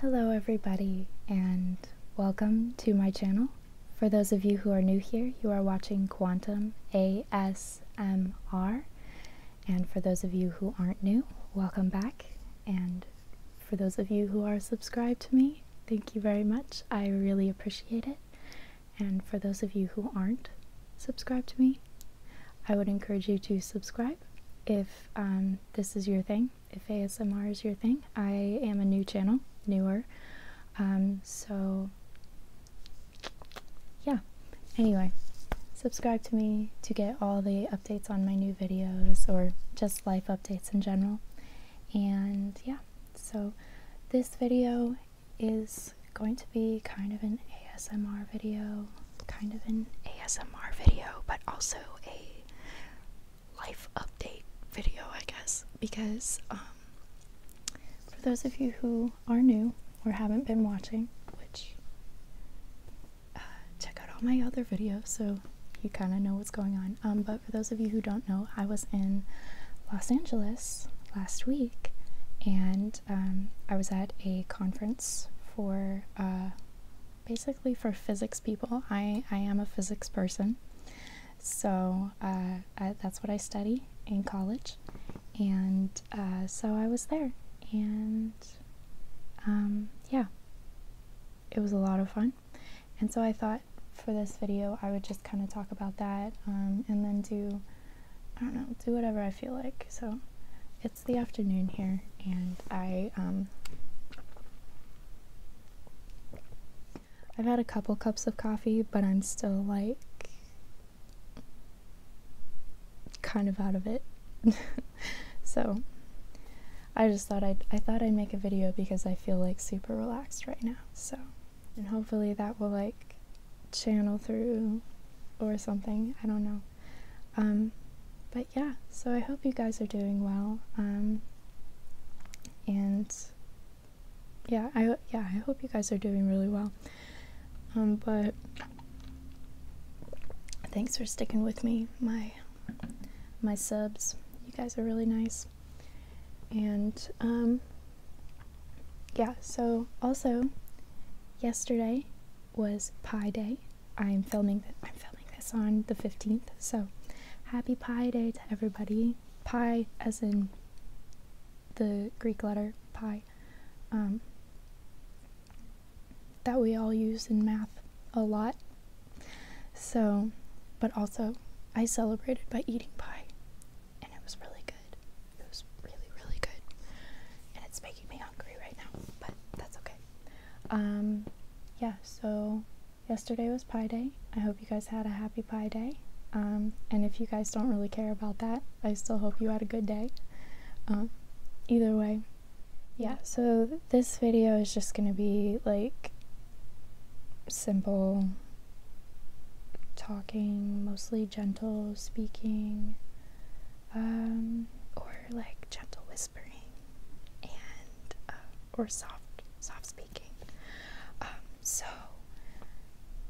Hello everybody and welcome to my channel. For those of you who are new here, you are watching Quantum ASMR. And for those of you who aren't new, welcome back. And for those of you who are subscribed to me, thank you very much. I really appreciate it. And for those of you who aren't subscribed to me, I would encourage you to subscribe if um, this is your thing, if ASMR is your thing. I am a new channel, newer. Um, so, yeah. Anyway, subscribe to me to get all the updates on my new videos or just life updates in general. And yeah, so this video is going to be kind of an ASMR video kind of an ASMR video, but also a life update video, I guess, because um, for those of you who are new or haven't been watching, which uh, check out all my other videos so you kind of know what's going on. Um, but for those of you who don't know, I was in Los Angeles last week and um, I was at a conference for uh, basically for physics people. I, I am a physics person, so uh, that's what I study in college, and uh, so I was there, and um, yeah, it was a lot of fun. And so I thought for this video, I would just kind of talk about that um, and then do, I don't know, do whatever I feel like. So it's the afternoon here, and I um, I've had a couple cups of coffee, but I'm still like kind of out of it. so I just thought i I thought I'd make a video because I feel like super relaxed right now. So and hopefully that will like channel through or something. I don't know. Um, but yeah, so I hope you guys are doing well. Um, and yeah, I yeah I hope you guys are doing really well. Um, but thanks for sticking with me, my my subs. You guys are really nice. And um, yeah, so also yesterday was Pi Day. I'm filming I'm filming this on the 15th, so happy Pi Day to everybody. Pi as in the Greek letter pi um, that we all use in math a lot. So, but also I celebrated by eating pie and it was really good. It was really, really good. And it's making me hungry right now, but that's okay. Um, yeah, so yesterday was Pi Day. I hope you guys had a happy Pi Day. Um, and if you guys don't really care about that, I still hope you had a good day. Um, either way, yeah, so this video is just gonna be like simple talking, mostly gentle speaking, um, or like gentle whispering and uh, or soft soft speaking um, so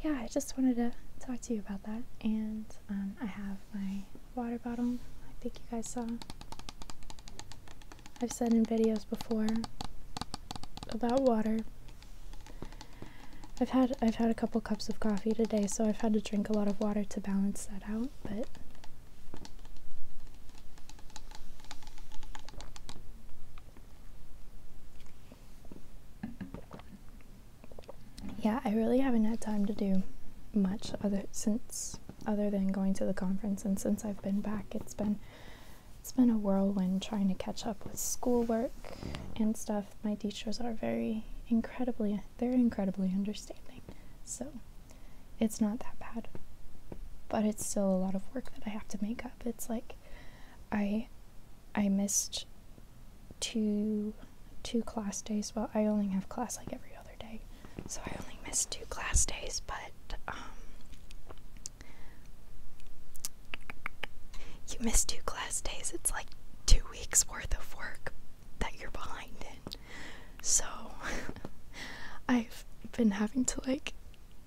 yeah i just wanted to talk to you about that and um, i have my water bottle i think you guys saw i've said in videos before about water i've had i've had a couple cups of coffee today, so I've had to drink a lot of water to balance that out, but. Yeah, I really haven't had time to do much other since other than going to the conference and since I've been back it's been it's been a whirlwind trying to catch up with schoolwork and stuff my teachers are very incredibly, they're incredibly understanding. So it's not that bad. But it's still a lot of work that I have to make up. It's like I I missed two two class days. Well, I only have class like every other day. So I only missed two class days, but um you missed two class days, it's like two weeks worth of work, that you're behind in. So I've been having to like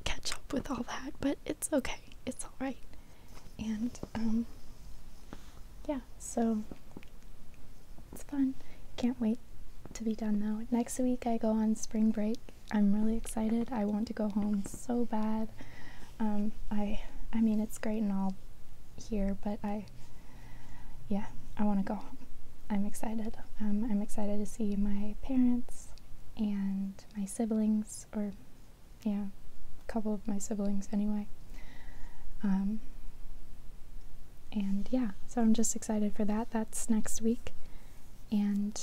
catch up with all that, but it's okay. It's all right. And um yeah, so it's fun. Can't wait to be done though. Next week I go on spring break. I'm really excited. I want to go home so bad. Um, I I mean it's great and all here, but I yeah, I want to go home. I'm excited. Um, I'm excited to see my parents and my siblings, or yeah, a couple of my siblings anyway. Um, and yeah, so I'm just excited for that. That's next week. And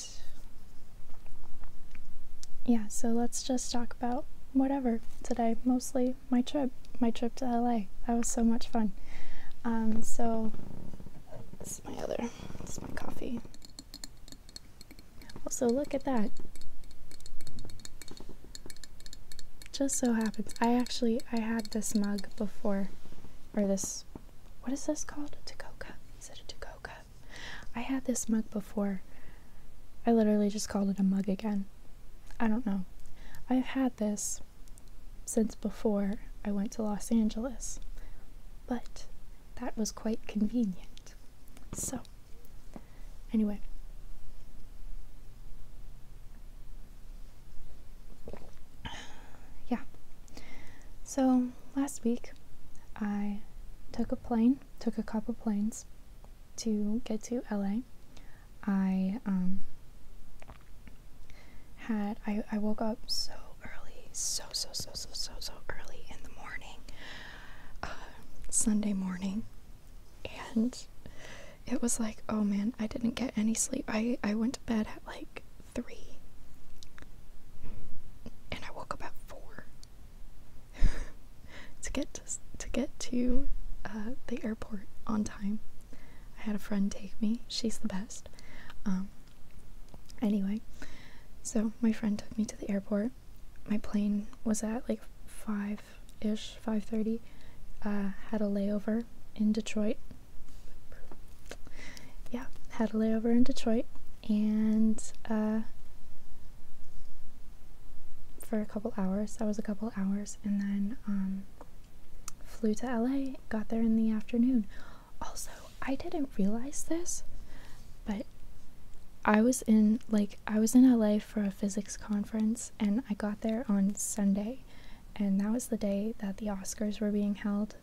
yeah, so let's just talk about whatever today, mostly my trip, my trip to LA. That was so much fun. Um, so this is my other, this is my coffee. Also, look at that. Just so happens, I actually I had this mug before, or this, what is this called? A to cup? Is it a to cup? I had this mug before. I literally just called it a mug again. I don't know. I've had this since before I went to Los Angeles, but that was quite convenient. So, anyway. Yeah. So, last week I took a plane, took a couple planes to get to LA. I um had I, I woke up so early, so so so so so so early in the morning, uh, Sunday morning, and it was like, oh man, I didn't get any sleep. I I went to bed at like three, and I woke up at four. to get to, get to uh, the airport on time. I had a friend take me. She's the best. Um, anyway, so my friend took me to the airport. My plane was at like five ish, five thirty. Uh, had a layover in Detroit. Yeah, had a layover in Detroit, and uh, for a couple hours. that was a couple hours and then um, flew to LA, got there in the afternoon. Also, I didn't realize this, but I was in like I was in LA for a physics conference and I got there on Sunday and that was the day that the Oscars were being held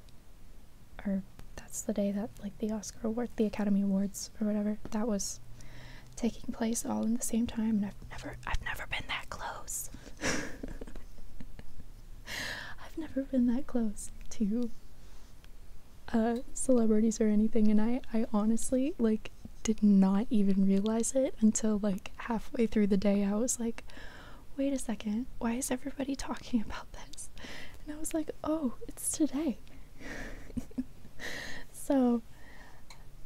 or that's the day that like the Oscar award the Academy Awards or whatever that was taking place all in the same time and I've never I've never been that close. I've never been that close to celebrities or anything and I I honestly like did not even realize it until like halfway through the day I was like wait a second why is everybody talking about this and I was like oh it's today so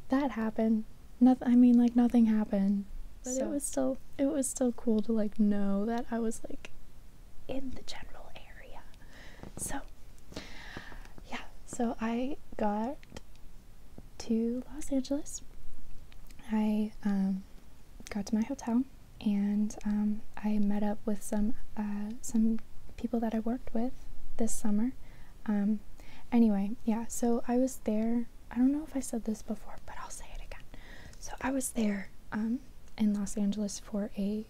that happened. Nothing. I mean, like nothing happened, but it was still it was still cool to like know that I was like in the general area. So yeah, so I got to Los Angeles. I um, got to my hotel and um, I met up with some uh, some people that I worked with this summer. Um, anyway, yeah, so I was there. I don't know if I said this before, but I'll say it again. So I was there um, in Los Angeles for a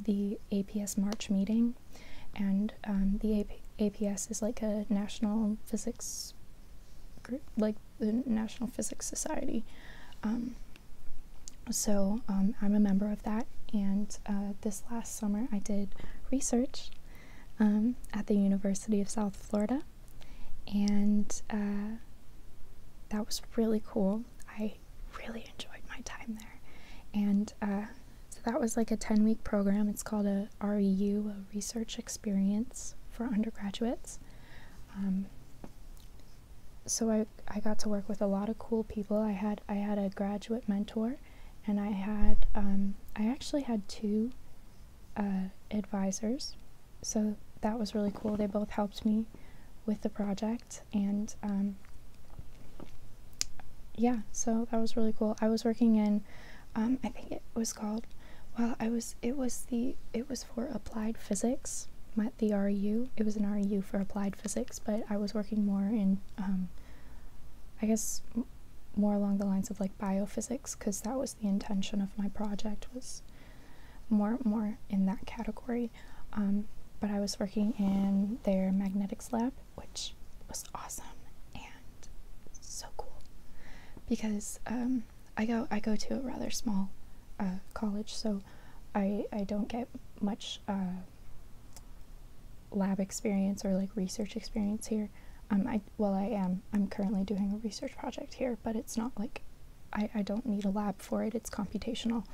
the APS March meeting, and um, the APS is like a national physics group, like the National Physics Society. Um, so um, I'm a member of that, and uh, this last summer I did research um, at the University of South Florida, and uh, that was really cool. I really enjoyed my time there, and uh, so that was like a 10 week program. It's called a REU, a research experience for undergraduates. Um, so I, I got to work with a lot of cool people. I had I had a graduate mentor and I had um, I actually had two uh, advisors, so that was really cool. They both helped me with the project, and um, yeah, so that was really cool. I was working in, um, I think it was called. Well, I was. It was the. It was for applied physics. My, the RU. It was an RU for applied physics, but I was working more in I guess more along the lines of like biophysics because that was the intention of my project was more more in that category. Um, but I was working in their magnetics lab, which was awesome and so cool because um, I go I go to a rather small uh, college, so I I don't get much uh, lab experience or like research experience here. Um, I well, I am. I'm currently doing a research project here, but it's not like I, I don't need a lab for it. It's computational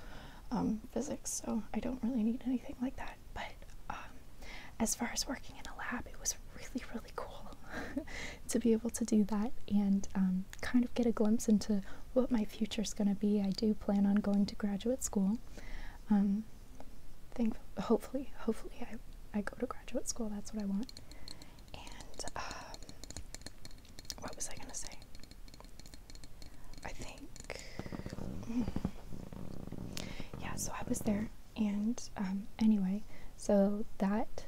um, physics, so I don't really need anything like that. But um, as far as working in a lab, it was really really cool to be able to do that and um, kind of get a glimpse into what my future is going to be. I do plan on going to graduate school think hopefully hopefully I, I go to graduate school that's what I want and um, what was I gonna say I think mm, yeah so I was there and um, anyway so that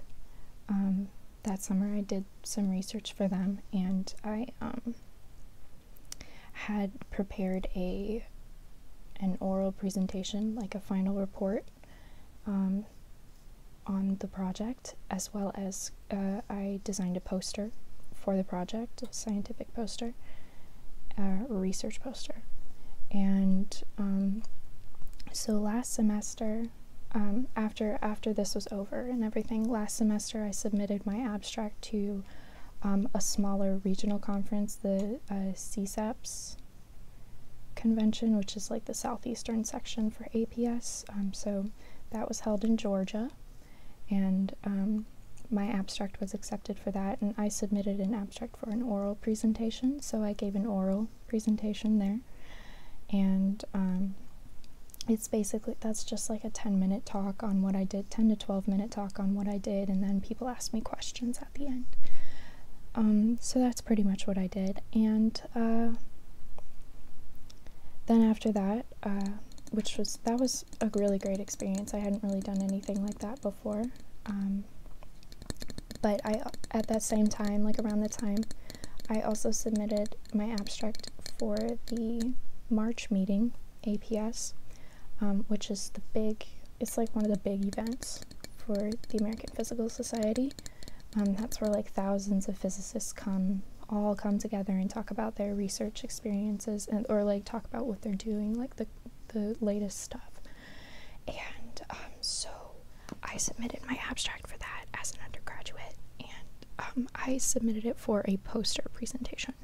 um, that summer I did some research for them and I um, had prepared a an oral presentation, like a final report um, on the project, as well as uh, I designed a poster for the project, a scientific poster, a research poster. And um, so last semester, um, after after this was over and everything, last semester I submitted my abstract to um, a smaller regional conference, the uh, CSAPS convention, which is like the southeastern section for APS. Um, so that was held in Georgia, and um, my abstract was accepted for that. And I submitted an abstract for an oral presentation, so I gave an oral presentation there. And it's basically that's just like a 10 minute talk on what I did 10 12 minute talk on what I did, and then people asked me questions at the end. Um, so that's pretty much what I did. And uh, then after that, uh, which was that was a really great experience. I hadn't really done anything like that before. Um, but I at that same time, like around the time, I also submitted my abstract for the March meeting APS, um, which is the big, it's like one of the big events for the American Physical Society. Um, that's where like thousands of physicists come, all come together and talk about their research experiences and or like talk about what they're doing, like the the latest stuff. And um, so I submitted my abstract for that as an undergraduate, and I submitted it for a poster presentation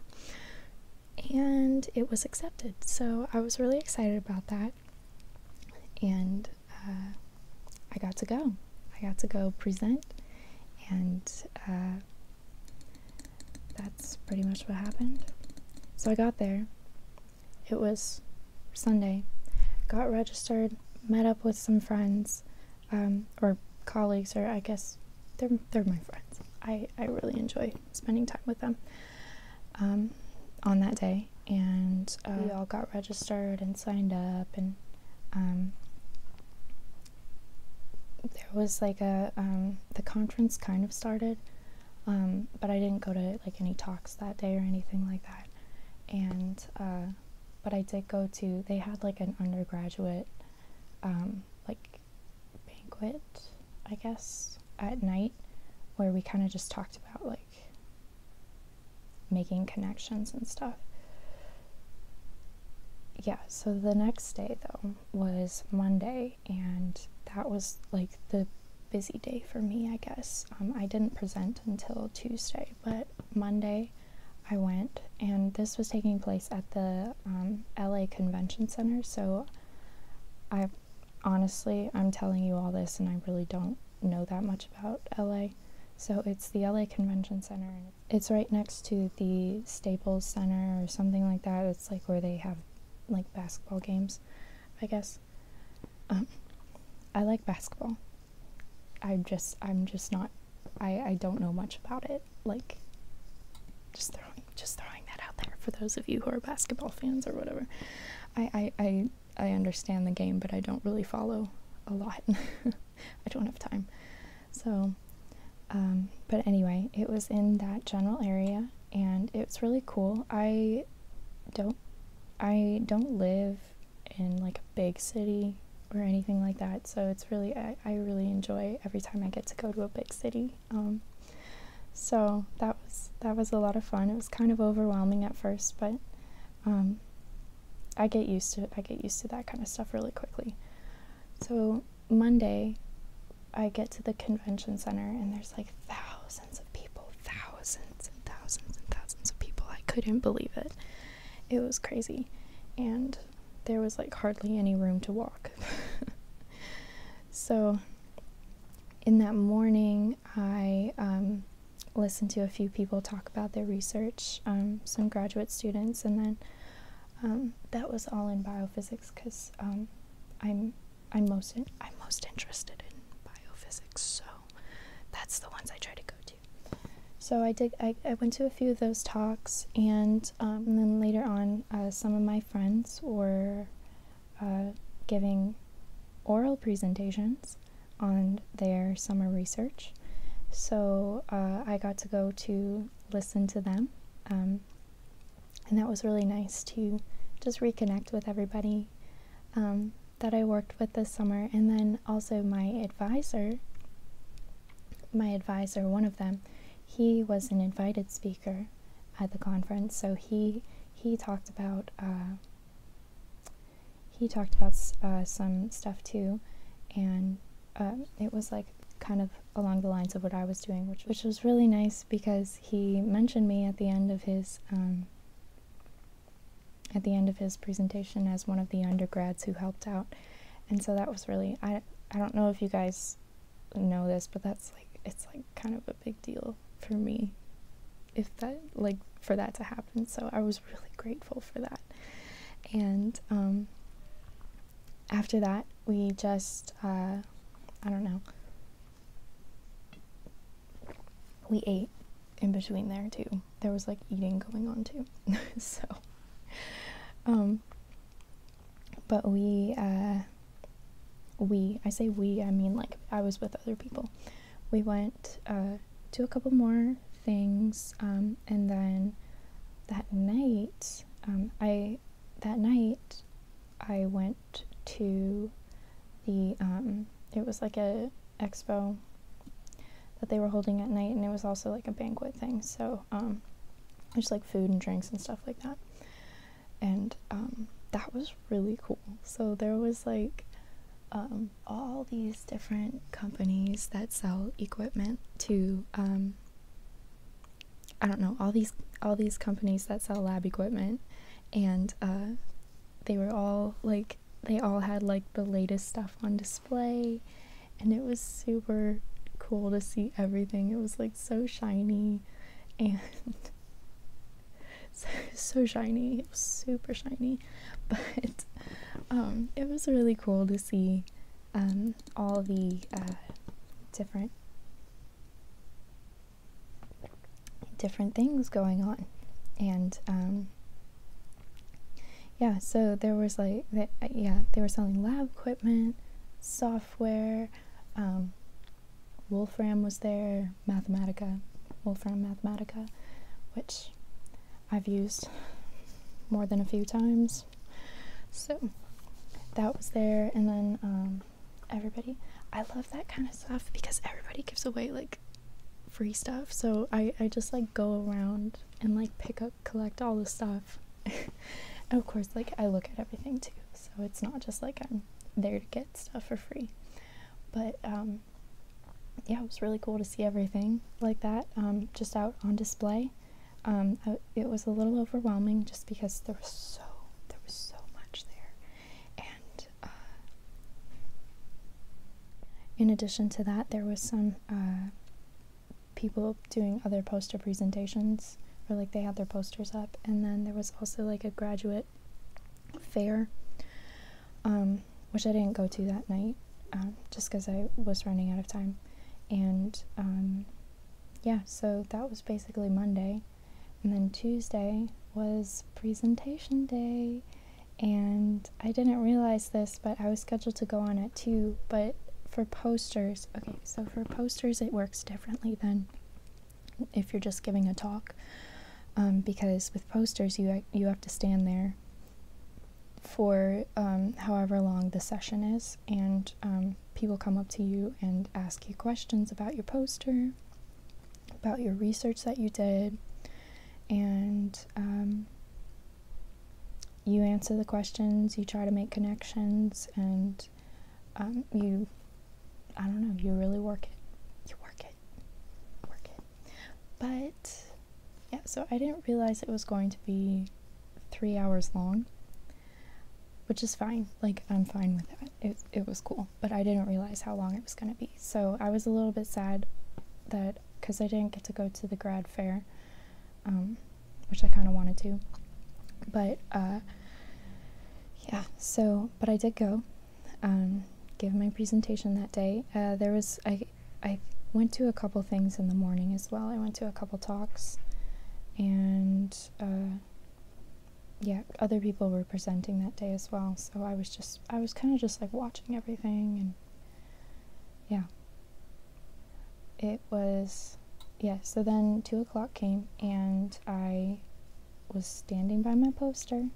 and it was accepted. So I was really excited about that, and uh, I got to go. I got to go present, and uh, that's pretty much what happened. So I got there. It was Sunday. Got registered, met up with some friends, um, or colleagues, or I guess they're they're my friends. I I really enjoy spending time with them. Um, on that day, and uh, we all got registered and signed up, and um, there was like a um, the conference kind of started, um, but I didn't go to like any talks that day or anything like that, and uh, but I did go to they had like an undergraduate um, like banquet, I guess, at night where we kind of just talked about like making connections and stuff. Yeah, so the next day though was Monday, and that was like the busy day for me, I guess. Um, I didn't present until Tuesday, but Monday I went, and this was taking place at the um, LA Convention Center. So, I honestly, I'm telling you all this, and I really don't know that much about LA. So, it's the LA Convention Center, and it's right next to the Staples Center or something like that. It's like where they have like basketball games, I guess. Um, I like basketball. I just, I'm just not, I, I don't know much about it. Like just throwing just throwing that out there for those of you who are basketball fans or whatever. I I I, I understand the game, but I don't really follow a lot. I don't have time. So um, but anyway, it was in that general area and it's really cool. I don't I don't live in like a big city or anything like that. So it's really, I, really enjoy every time I get to go to a big city. Um, so that was that was a lot of fun. It was kind of overwhelming at first, but um, I get used to it. I get used to that kind of stuff really quickly. So Monday, I get to the convention center and there's like thousands of people, thousands and thousands and thousands of people. I couldn't believe it. It was crazy. And there was like hardly any room to walk. so, in that morning, I um, listened to a few people talk about their research, um, some graduate students, and then um, that was all in biophysics because I'm I'm most I'm most interested in biophysics, so that's the ones I try to go to. So I did I, I went to a few of those talks and um, and, then later on, uh, some of my friends were uh, giving oral presentations on their summer research. So uh, I got to go to listen to them. Um, and that was really nice to just reconnect with everybody um, that I worked with this summer. And then also my advisor my advisor, one of them, he was an invited speaker at the conference, so he he talked about uh, he talked about uh, some stuff too, and um, it was like kind of along the lines of what I was doing, which which was really nice because he mentioned me at the end of his um, at the end of his presentation as one of the undergrads who helped out, and so that was really I I don't know if you guys know this, but that's like it's like kind of a big deal for me if that like for that to happen. So I was really grateful for that. And um after that, we just uh I don't know. We ate in between there too. There was like eating going on too. so um but we, uh, we, I say we, I mean like I was with other people. We went uh, to a couple more things, um, and then that night, um, I, that night, I went to the, um, it was like a expo that they were holding at night, and it was also like a banquet thing. So, just like food and drinks and stuff like that. And um, that was really cool. So there was like um, all these different companies that sell equipment to um, I don't know all these all these companies that sell lab equipment, and uh, they were all like they all had like the latest stuff on display, and it was super cool to see everything. It was like so shiny and so, so shiny. It was super shiny. But um, it was really cool to see um, all the uh, different different things going on and um, yeah, so there was like, they, uh, yeah, they were selling lab equipment, software, um, Wolfram was there, Mathematica, Wolfram Mathematica, which I've used more than a few times. So that was there, and then um, everybody. I love that kind of stuff because everybody gives away like free stuff. So I, I just like go around and like pick up, collect all the stuff of course, like I look at everything too, so it's not just like I'm there to get stuff for free. But um, yeah, it was really cool to see everything like that um, just out on display. Um, it was a little overwhelming just because there was so there was so much there, and uh, in addition to that, there was some. Uh, people doing other poster presentations or like they had their posters up and then there was also like a graduate fair um, which i didn't go to that night um, just because i was running out of time and um, yeah so that was basically monday and then tuesday was presentation day and i didn't realize this but I was scheduled to go on at 2, but for posters, okay, so for posters it works differently than if you're just giving a talk, um, because with posters you, you have to stand there for um, however long the session is, and um, people come up to you and ask you questions about your poster, about your research that you did, and you answer the questions, you try to make connections, and um, you, I don't know, you really work it. You work it. Work it. But, yeah, so I didn't realize it was going to be three hours long, which is fine. Like, I'm fine with that. It, it was cool, but I didn't realize how long it was going to be. So I was a little bit sad that, because I didn't get to go to the grad fair, um, which I kind of wanted to. But uh, yeah, so but I did go, um, give my presentation that day. Uh, there was I I went to a couple things in the morning as well. I went to a couple talks, and uh, yeah, other people were presenting that day as well. So I was just I was kind of just like watching everything and yeah it was, yeah, so then 2 o'clock came and I was standing by my poster,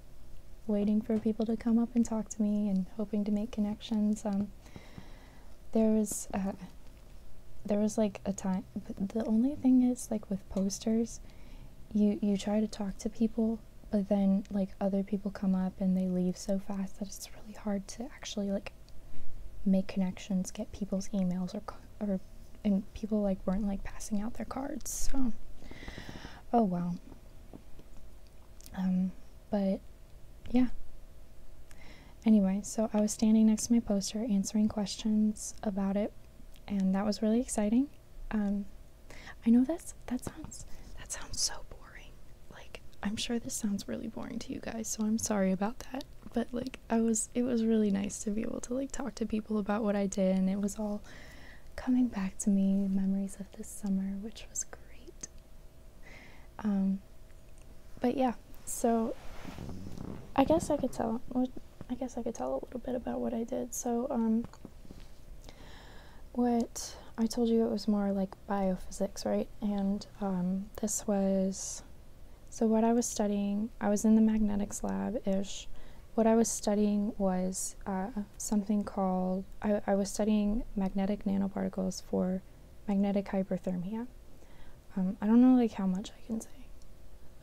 waiting for people to come up and talk to me and hoping to make connections. Um, there was, uh, there was like a time, the only thing is, like with posters, you, you try to talk to people but then like other people come up and they leave so fast that it's really hard to actually like make connections, get people's emails or or and people like weren't like passing out their cards. So oh wow. Um but yeah. Anyway, so I was standing next to my poster answering questions about it and that was really exciting. Um I know that's that sounds that sounds so boring boring. Like, I'm sure this sounds really boring to you guys, so I'm sorry about that. But like, I was, it was really nice to be able to like talk to people about what I did, and it was all coming back to me memories of this summer, which was great. Um, but yeah, so I guess I could tell. I guess I could tell a little bit about what I did. So, um, what I told you it was more like biophysics, right? And um, this was so what I was studying, I was in the magnetics lab ish. What I was studying was uh, something called, I, was studying magnetic nanoparticles for magnetic hyperthermia. Um, I don't know like how much I can say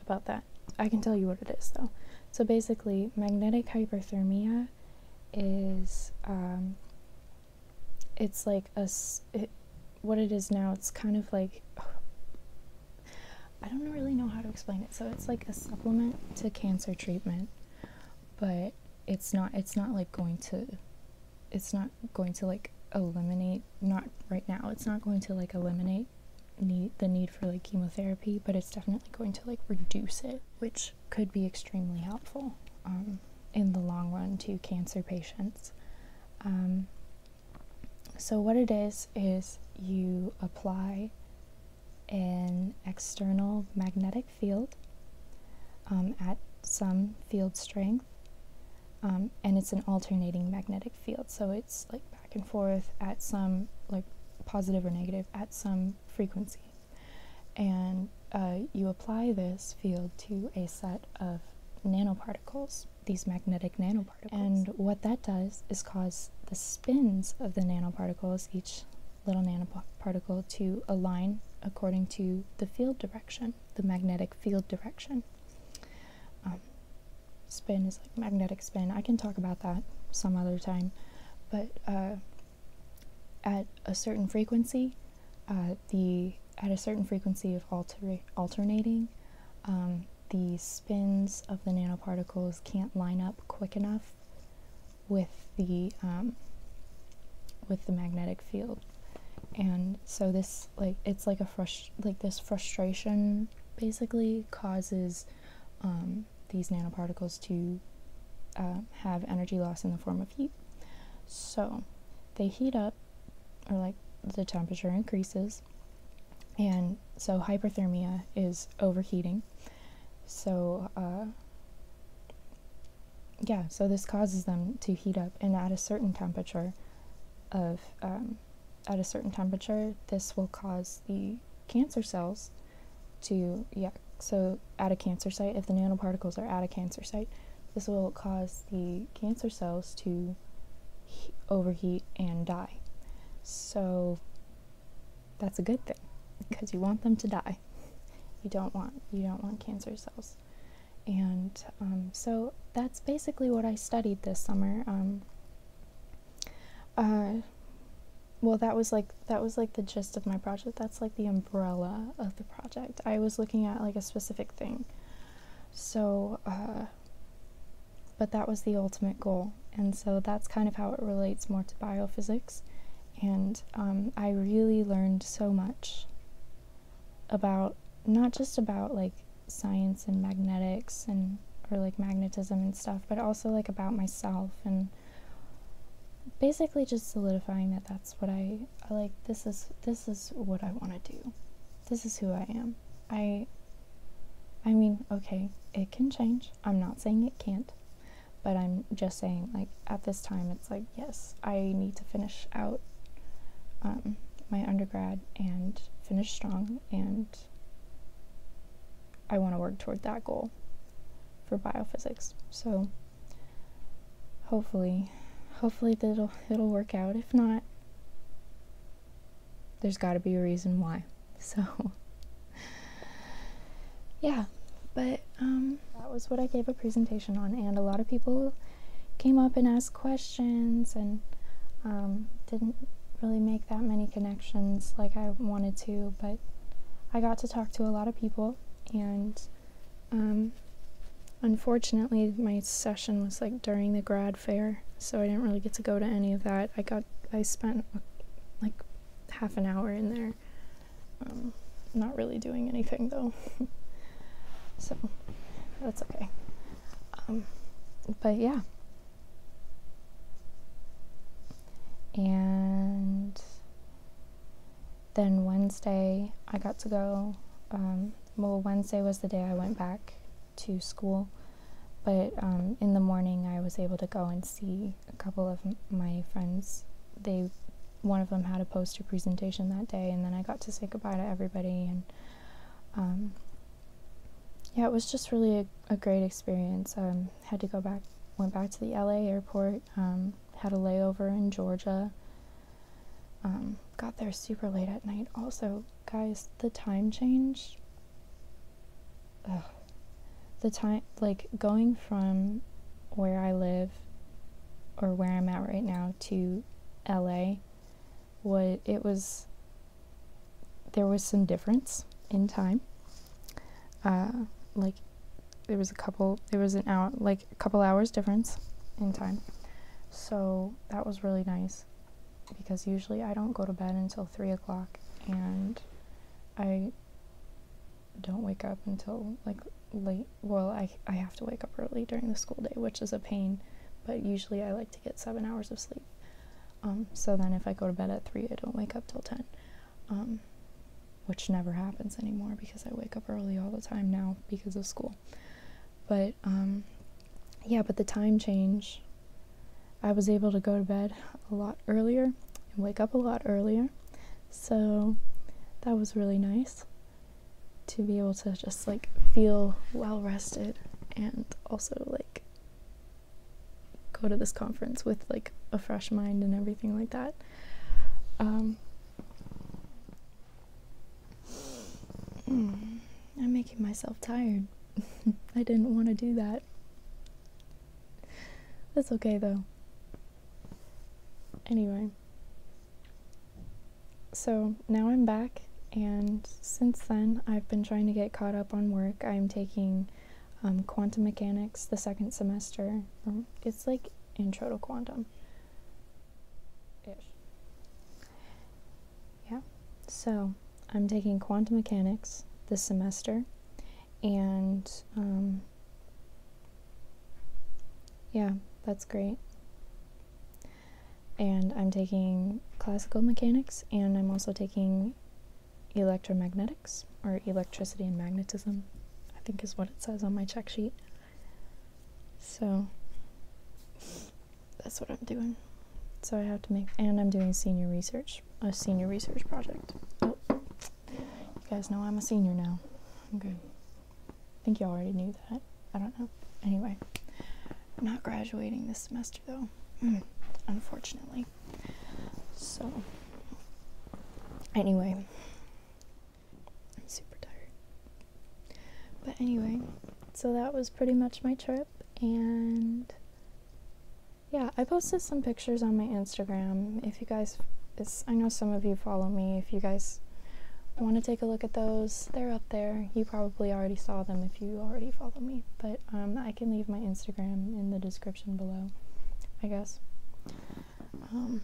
about that. I can tell you what it is though. So basically, magnetic hyperthermia is um, it's like a what it is now it's kind of like I don't really know how to explain it so it's like a supplement to cancer treatment but it's not it's not like going to it's not going to like eliminate not right now it's not going to like eliminate need the need for like chemotherapy but it's definitely going to like reduce it which could be extremely helpful um, in the long run to cancer patients. Um, so, what it is, is you apply an external magnetic field um, at some field strength, um, and it's an alternating magnetic field. So, it's like back and forth at some, like positive or negative, at some frequency. And uh, you apply this field to a set of nanoparticles, these magnetic nanoparticles. And what that does is cause the spins of the nanoparticles, each little nanoparticle, to align according to the field direction, the magnetic field direction. Um, spin is like magnetic spin. I can talk about that some other time. But uh, at a certain frequency, uh, the at a certain frequency of alternating, um, the spins of the nanoparticles can't line up quick enough with the um, with the magnetic field, and so this like it's like a frust- like this frustration basically causes um, these nanoparticles to uh, have energy loss in the form of heat. So they heat up, or like the temperature increases, and so hyperthermia is overheating. So, uh, yeah, so this causes them to heat up, and at a certain temperature, of um, at a certain temperature, this will cause the cancer cells to yeah so at a cancer site, if the nanoparticles are at a cancer site, this will cause the cancer cells to overheat and die. So that's a good thing because you want them to die. You don't want you don't want cancer cells. And um, so that's basically what I studied this summer. Um, uh, well, that was like that was like the gist of my project. That's like the umbrella of the project. I was looking at like a specific thing. So, uh, but that was the ultimate goal. And so that's kind of how it relates more to biophysics. And um, I really learned so much about not just about like science and magnetics and or like magnetism and stuff, but also like about myself and basically just solidifying that that's what I, like this is this is what I want to do. This is who I am. I I mean, okay, it can change. I'm not saying it can't, but I'm just saying like at this time it's like yes, I need to finish out um, my undergrad and finish strong and I want to work toward that goal for biophysics. So hopefully hopefully it will it'll work out if not there's got to be a reason why so yeah but um, that was what i gave a presentation on and a lot of people came up and asked questions and um, didn't really make that many connections like i wanted to but i got to talk to a lot of people and um, unfortunately, my session was like during the grad fair, so I didn't really get to go to any of that. I got, I spent like half an hour in there, um, not really doing anything though. so that's okay. Um, but yeah. And then Wednesday, I got to go. Um, well, Wednesday was the day I went back to school, but um, in the morning I was able to go and see a couple of my friends. They, one of them had a poster presentation that day, and then I got to say goodbye to everybody. And um, yeah, it was just really a, great experience. Um, had to go back, went back to the LA airport had a layover in Georgia. Um, got there super late at night. Also, guys, the time change. The time, like going from where I live or where I'm at right now to LA, what it was, there was some difference in time. Uh, like there was a couple there was an hour like a couple hours difference in time so that was really nice because usually i don't go to bed until three o'clock and i don't wake up until like late well I, I have to wake up early during the school day which is a pain but usually i like to get seven hours of sleep um, so then if i go to bed at three i don't wake up till ten um, which never happens anymore because I wake up early all the time now because of school. But um, yeah, but the time change, I was able to go to bed a lot earlier and wake up a lot earlier. So that was really nice to be able to just like feel well rested and also like go to this conference with like a fresh mind and everything like that. Um, Mm, I'm making myself tired. I didn't want to do that. That's okay though. Anyway. So now I'm back, and since then I've been trying to get caught up on work. I'm taking um, quantum mechanics the second semester. Um, it's like intro to quantum ish yeah so i'm taking quantum mechanics this semester and um, yeah that's great and i'm taking classical mechanics and i'm also taking electromagnetics or electricity and magnetism, I think is what it says on my check sheet. So that's what I'm doing. So I have to make, and I'm doing senior research, a senior research project. Oh, you guys know I'm a senior now. I'm good. I think you already knew that. I don't know. Anyway, not graduating this semester though, mm, unfortunately. So, anyway, I'm super tired. But anyway, so that was pretty much my trip, and yeah, I posted some pictures on my Instagram. If you guys, I know some of you follow me. If you guys want to take a look at those, they're up there. You probably already saw them if you already follow me, but um, I can leave my Instagram in the description below, I guess um,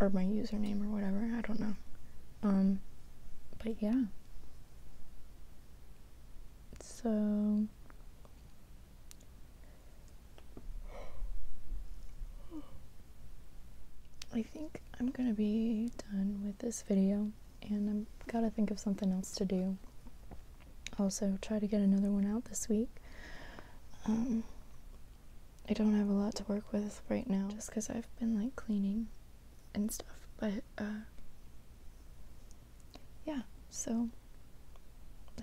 or my username or whatever. I don't know. Um, but yeah. So. I think I'm gonna be done with this video and I've gotta think of something else to do also try to get another one out this week. Um, I don't have a lot to work with right now just because I've been like cleaning and stuff, but uh, yeah, so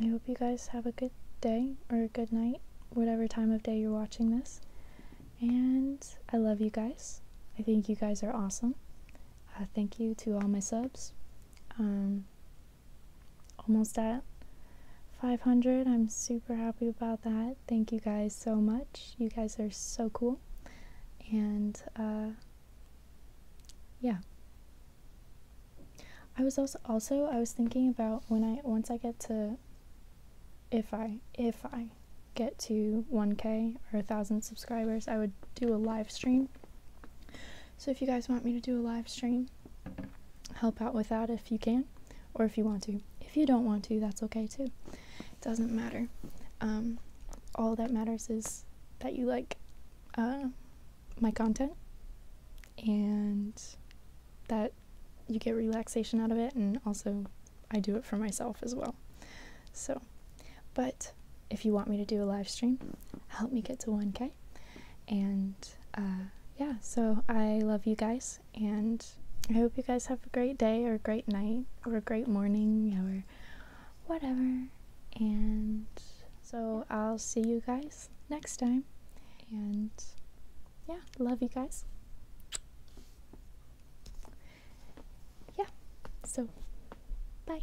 I hope you guys have a good day or a good night, whatever time of day you're watching this. And I love you guys. I think you guys are awesome. Uh, thank you to all my subs. Um, almost at 500. I'm super happy about that. Thank you guys so much. You guys are so cool. And uh, yeah. I was also also I was thinking about when I once I get to if I if I get to 1k or 1000 subscribers, I would do a live stream. So if you guys want me to do a live stream, help out with that if you can or if you want to. If you don't want to, that's okay too. It doesn't matter. Um, all that matters is that you like uh, my content and that you get relaxation out of it, and also I do it for myself as well. So, but if you want me to do a live stream, help me get to 1K. And uh, yeah, so I love you guys, and I hope you guys have a great day, or a great night, or a great morning, or whatever. And so I'll see you guys next time. And yeah, love you guys. Yeah, so bye.